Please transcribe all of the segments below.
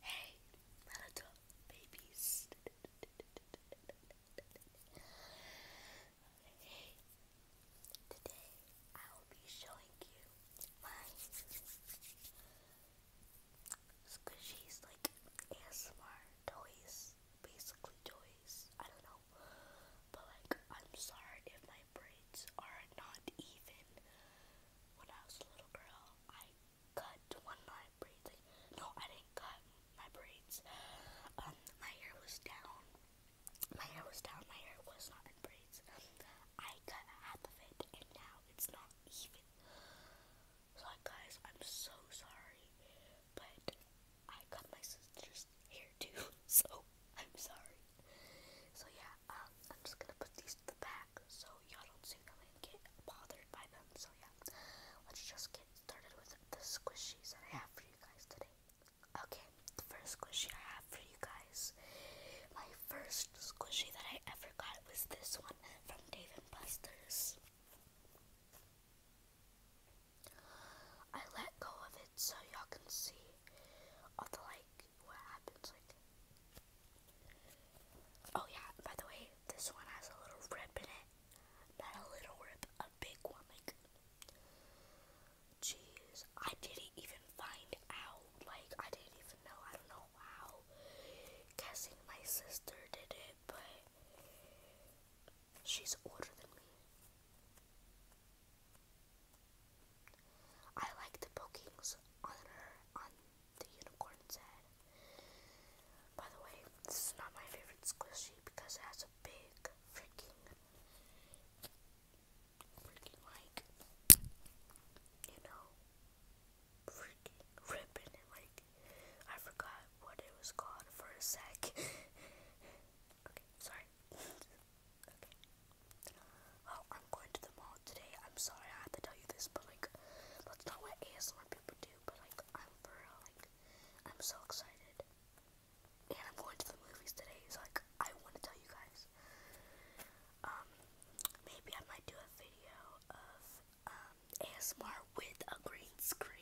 Hey, my little babies. Hey, today I will be showing you my squishies, like ASMR toys, basically toys. I don't know, but like, I'm sorry if my brain are not even. When I was a little girl, I cut one my braids. no, I didn't cut my braids. Um, my hair was down. My hair was down. My hair was not in braids. I cut half of it, and now it's not even. So, guys, I'm so sorry, but I cut my sister's there's too, so I'm sorry. So yeah, um, I'm just gonna put these to the back so y'all don't see them and get bothered by them. So yeah, let's just get started with the squishies that I have for you guys today. Okay, the first squishy I have for you guys. My first squishy that I ever got was this one from Dave and Buster's. I let go of it so y'all can see all the like what happens like oh yeah by the way this one has a little rip in it not a little rip a big one like jeez I didn't even find out like I didn't even know I don't know how guessing my sister did it but she's older than me I like the bookings on her on the unicorn's head. By the way, this is not my favorite squishy because it has a big freaking freaking like you know freaking rip in like I forgot what it was called for a sec. okay, sorry. Okay. Oh, I'm going to the mall today. I'm sorry I had to tell you this, but like, that's not what ASMR people do. But like, I'm for real, like, I'm so excited. And I'm going to the movies today, so like, I want to tell you guys. Um, maybe I might do a video of um ASMR with a green screen.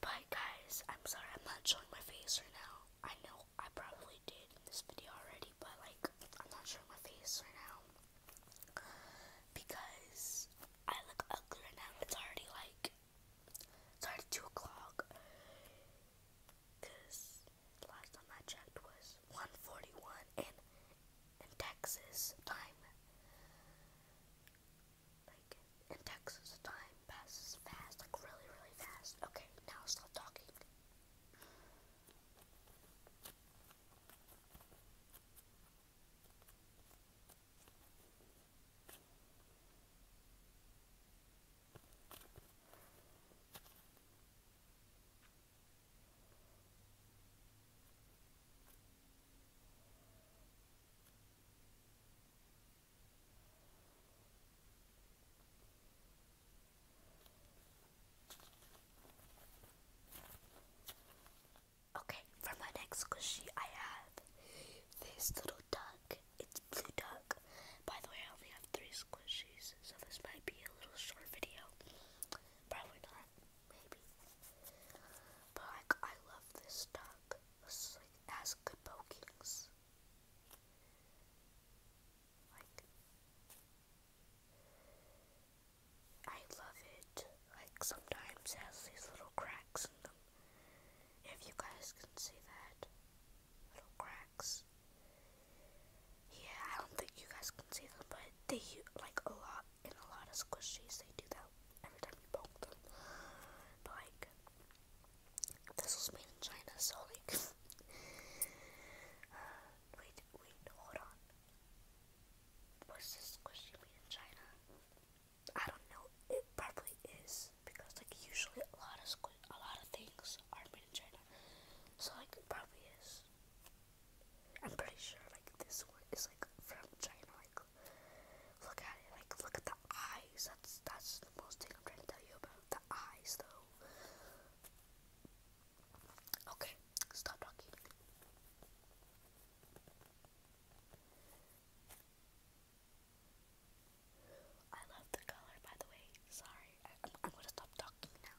Bye guys. I'm sorry I'm not showing my face right now. I know I probably did this video already, but like I'm not showing my face right now because I look ugly right now. It's already like it's already two o'clock. Cause the last time I checked was one forty one in in Texas time. Like, in Texas, time passes fast, like really, really fast. Okay, now stop talking. Okay, for my next squishy, I have this little duck. It's blue duck. By the way, I only have three squishies, so this might be a little short video. Probably not, maybe. But I love this duck was like good pokings. Like I love it. Like sometimes has these little cracks in them. If you guys can see that. Little cracks. Yeah, I don't think you guys can see them, but they like a lot in a lot of squishies, they do that every time you poke them. like, this was made in China, so, like, uh, wait, wait, hold on. Was this squishy made in China? I don't know. It probably is because, like, usually a lot of squi a lot of things are made in China, so like probably is. I'm pretty sure like this one is like from China, like Look at it, like look at the eyes. That's that's the most thing I'm trying to tell you about the eyes, though. Okay, stop talking. I love the color, by the way. Sorry, I, am gonna stop talking now.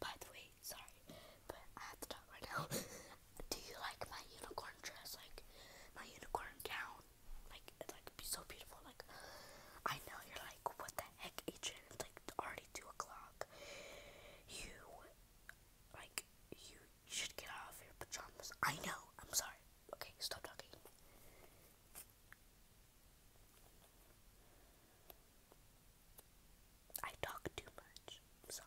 by the way, sorry, but I have to talk right now. Do you like my unicorn dress? Like my unicorn gown? Like it's like so beautiful. Like I know you're like, what the heck, Agent? It's like already two o'clock. You like you should get out your pajamas. I know. I'm sorry. Okay, stop talking. I talk too much. I'm sorry.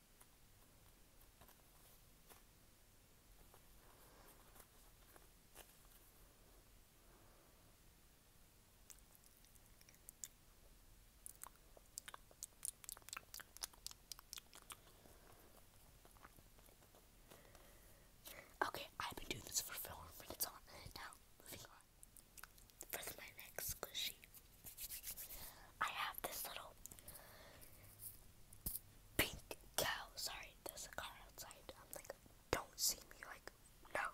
Okay, I've been doing this for four minutes on now. Moving on for my next squishy. I have this little pink cow. Sorry, there's a car outside. I'm like, don't see me. Like, no,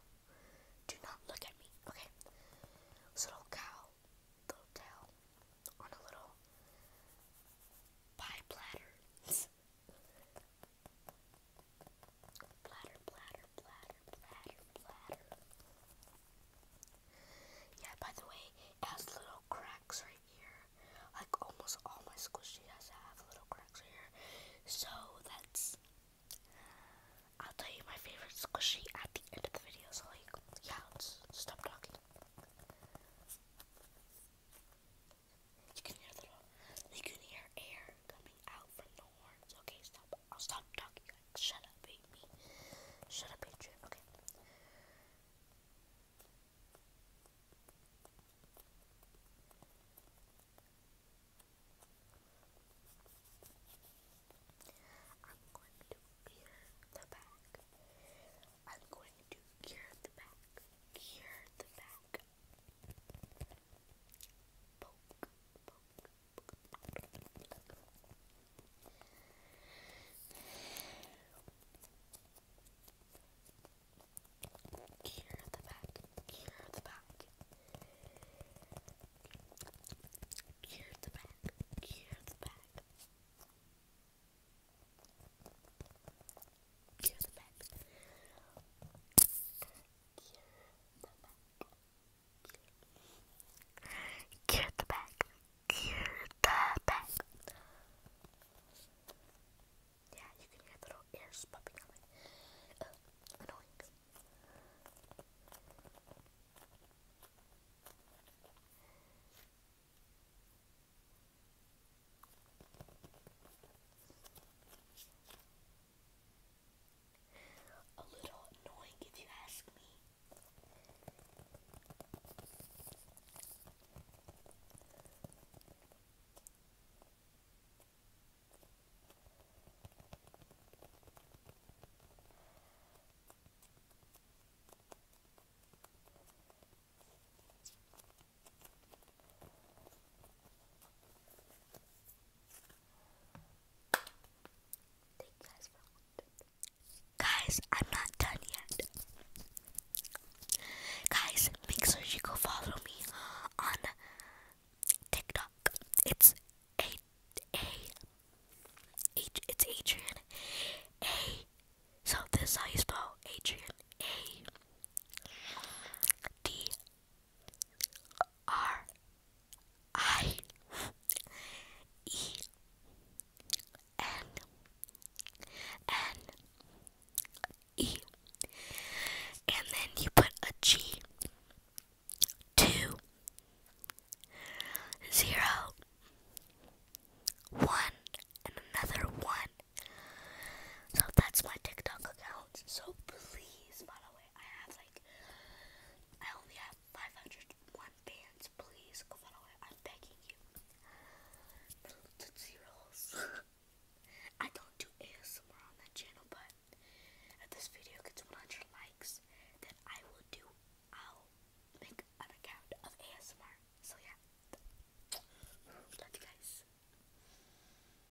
do not look at me. Okay, this little cow, little tail on a little pie platter. platter, platter, platter. Yeah, by the way, it has little cracks right here. Like almost all my squishy has have little cracks here. So that's I'll tell you my favorite squishy at the end of the video. So like yeah, let's stop talking. You can hear the you can hear air coming out from the horns. Okay, stop. I'll stop talking. Like, shut up, baby. Shut up, Adrian. Okay. I'm going to gear the back. I'm going to gear the back. Gear the back. Poke, poke, here at the back, here the back, here the back, here the back, here the back, Cure back. Cure back. Yeah, you can hear little ears popping uh, annoying. A little annoying if you ask me guys Guys, I'm not done yet. Guys, make sure you go follow me on TikTok. It's a a H, it's Adrian A. So this is how you spell Adrian A D R I E N N E and then you put a G two zero one and another one. So that's my TikTok account. So please follow I have like, I only have 501 bands, please go follow it, I'm begging you. Little I don't do ASMR on that channel, but if this video gets 100 likes, then I will do, I'll make an account of ASMR. So yeah, love you guys.